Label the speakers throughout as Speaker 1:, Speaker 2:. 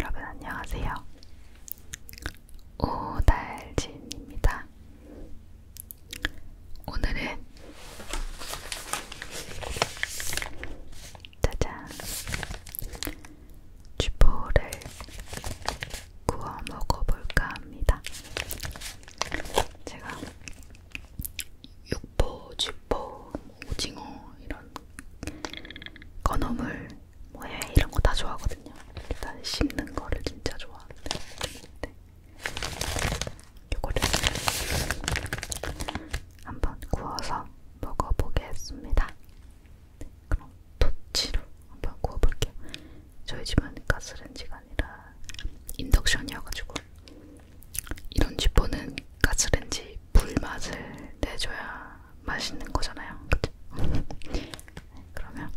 Speaker 1: 여러분 안녕하세요. 오달진입니다. 오늘은 짜잔. 쥐포를 구워 먹어볼까 합니다. 제가 육포, 쥐포, 뭐 오징어 이런 건어물, 뭐해 이런 거 다 좋아하거든요. 일단 씹는 거를 진짜 좋아하는데. 요거를 한번 구워서 먹어보겠습니다. 그럼 토치로 한번 구워볼게요. 저희 집은 가스렌지가 아니라 인덕션이어가지고 이런 집보는 가스렌지 불맛을 내줘야 맛있는 거잖아요. 그쵸? 그러면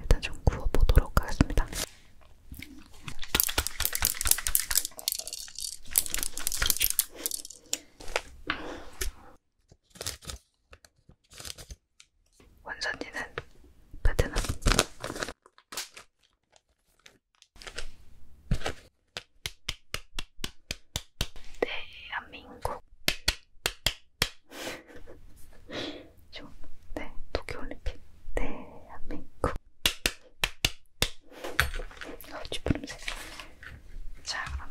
Speaker 1: 일단 좀 구워보도록 하겠습니다. 원산지는 베트남. 대한민국. 네, 네, 도쿄올림픽. 대한민국. 네, 아, 쥐푸름새. 자, 그럼.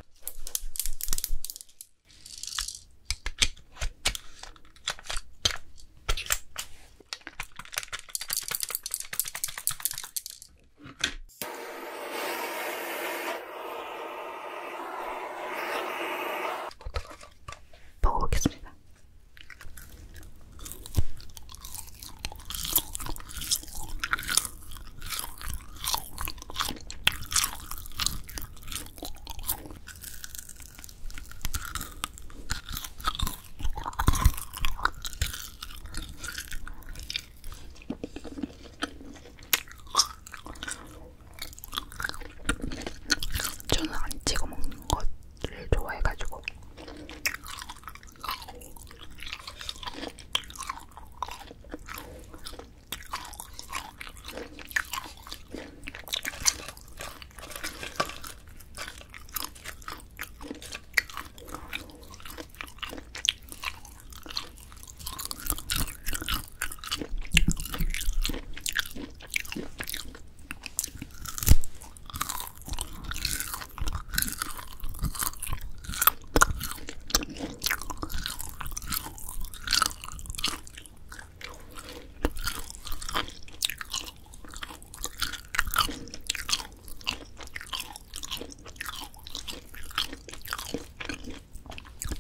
Speaker 1: 먹어보겠습니다. 저는 안 찍어 먹는 것를 좋아해가지고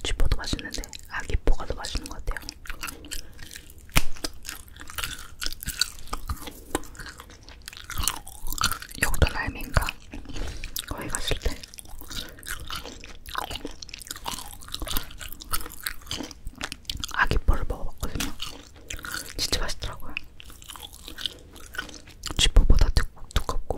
Speaker 1: 쥐포도 맛있는데 아기포가 더 맛있는 것 같아요. 역도 라임인가? 거기 갔을 때. 아기뻘을 먹어봤거든요. 진짜 맛있더라고요. 쥐포보다 두, 두껍고.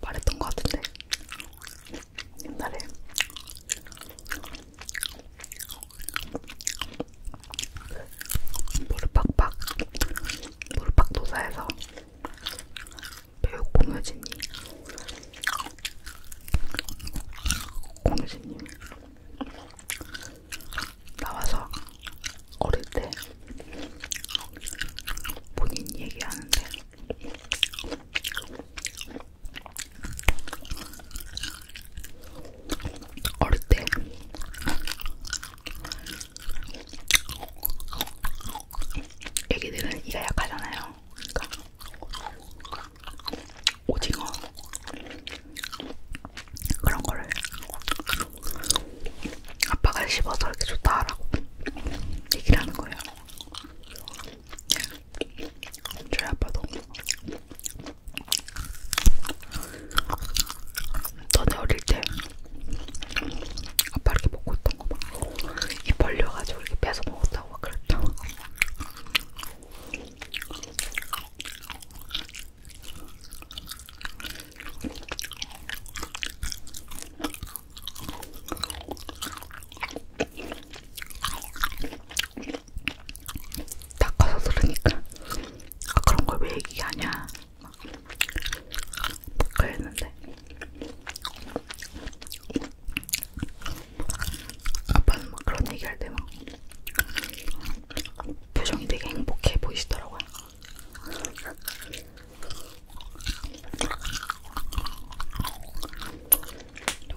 Speaker 1: 말했던 것 같은데 옛날에 모르팍팍 모르팍 도사에서 배우 공효진이 공유진님 나와서 어릴 때 본인 얘기하는데 어릴 때 애기들은 이가 약하잖아요. 그러니까 오징어 그런 거를 아빠가 씹어서 이렇게 좋다라고 얘기를 하는 거예요. 저희 아빠도 너네 어릴 때 아빠 이렇게 먹고 있던 거막이 벌려가지고 이렇게 빼서 먹었다고 막 그랬다. 닦아서 들으니까 아 그런 걸 왜 얘기하냐 막 그랬는데 아빠는 막 그런 얘기할 때 막 표정이 되게 행복해 보이시더라고요.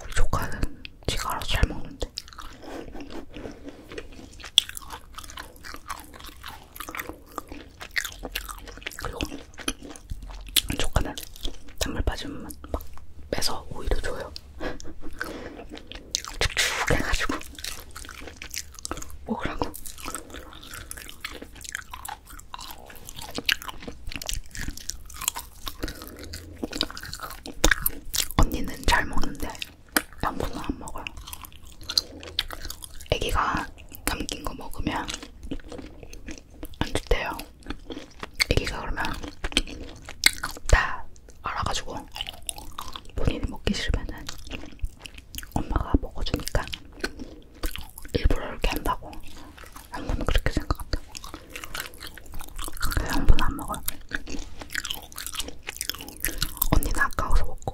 Speaker 1: 우리 조카는 지가 알아서 잘 먹는데. 그리고 조카는 단물 빠지면 막 빼서 오이도 줘요. 축축 해가지고 먹으라고. 언니는 잘 먹는데 양분은 안 먹어요. 애기가 남긴 거 먹으면 안 좋대요. 애기가 그러면 다 알아가지고 본인이 먹기 싫으면은 엄마가 먹어주니까 일부러 이렇게 한다고 양분은 그렇게 생각한다고 그래서 양분 안 먹어요 언니는 아까워서 먹고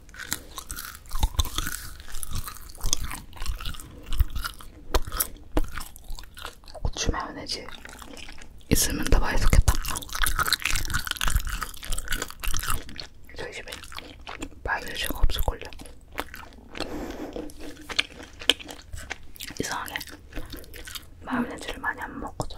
Speaker 1: 고추 마요네즈 있으면 더 맛있겠다. 저희 집에 마요네즈가 없을걸요. 이상하게 마요네즈를 많이 안 먹거든.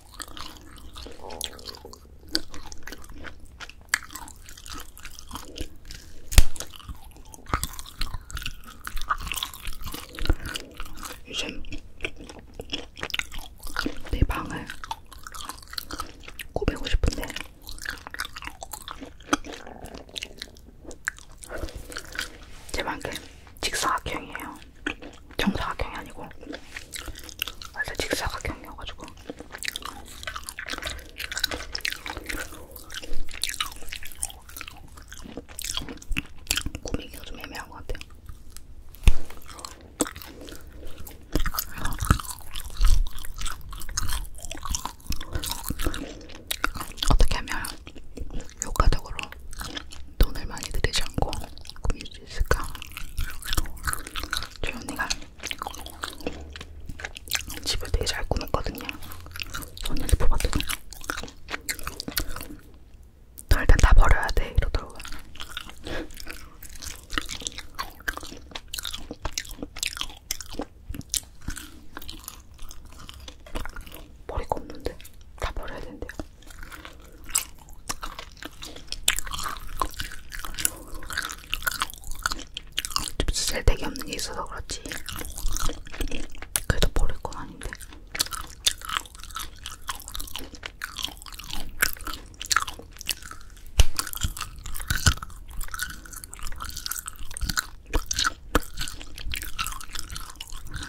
Speaker 1: 이제 내 방을 꾸미고 싶은데 제 방은 직사각형이에요. 정사각형이 아니고 원래 직사각형이어가지고 꾸미기가 좀 애매한 것 같아요. 어떻게 하면 효과적으로 돈을 많이 들이지 않고 꾸밀 수 있을까? 저희 언니가 집을 되게 잘 꾸몄거든요. 언니한테 뽑았더니 너 일단 다 버려야 돼 이러더라고요. 머리가 없는데 다 버려야 된대요. 좀 쓸데기 없는 게 있어서 그렇지. 그래도 버릴 건 아닌데.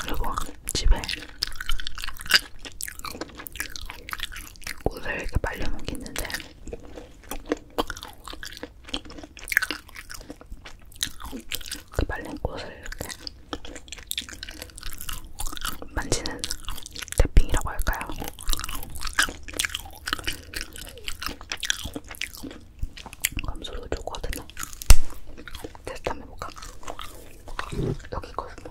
Speaker 1: 그리고 집에 꽃을 이렇게 말려놓은 게 있는데 그 말린 꽃을 이렇게 만지는 태핑이라고 할까요? 감소리가 좋거든요. 테스트 한번 해볼까? 여기 있거든요.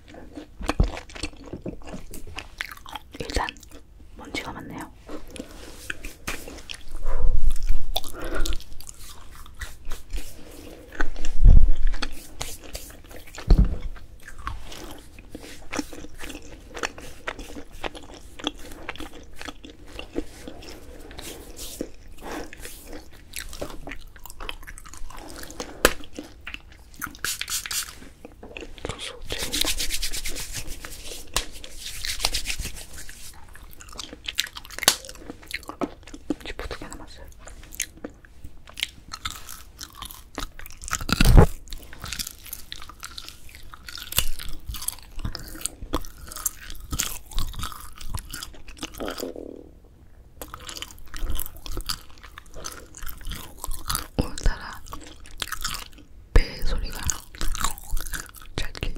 Speaker 1: 일단 먼지가 많네요. 소소제. 지퍼 두개 남았어요. 오늘따라 배 소리가 잘 들리네.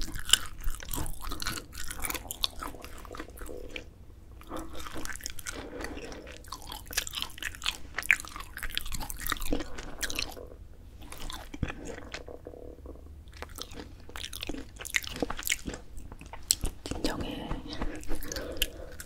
Speaker 1: 진정해.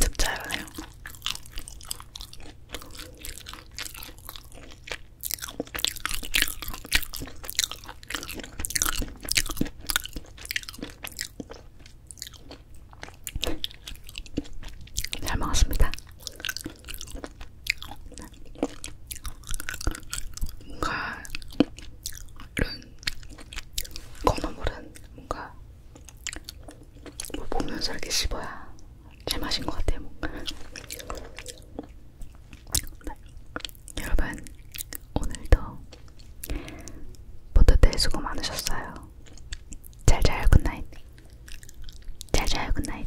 Speaker 1: 짭짤하네요. 잘 먹었습니다. 뭔가 이런 건어물은 뭔가 뭐 보면서 이렇게 씹어야 제맛인 것 같아요. 뭔가. 네. 여러분 오늘도 포토데이 수고 많으셨어요. 잘자요 굿나잇. 잘자요 굿나잇.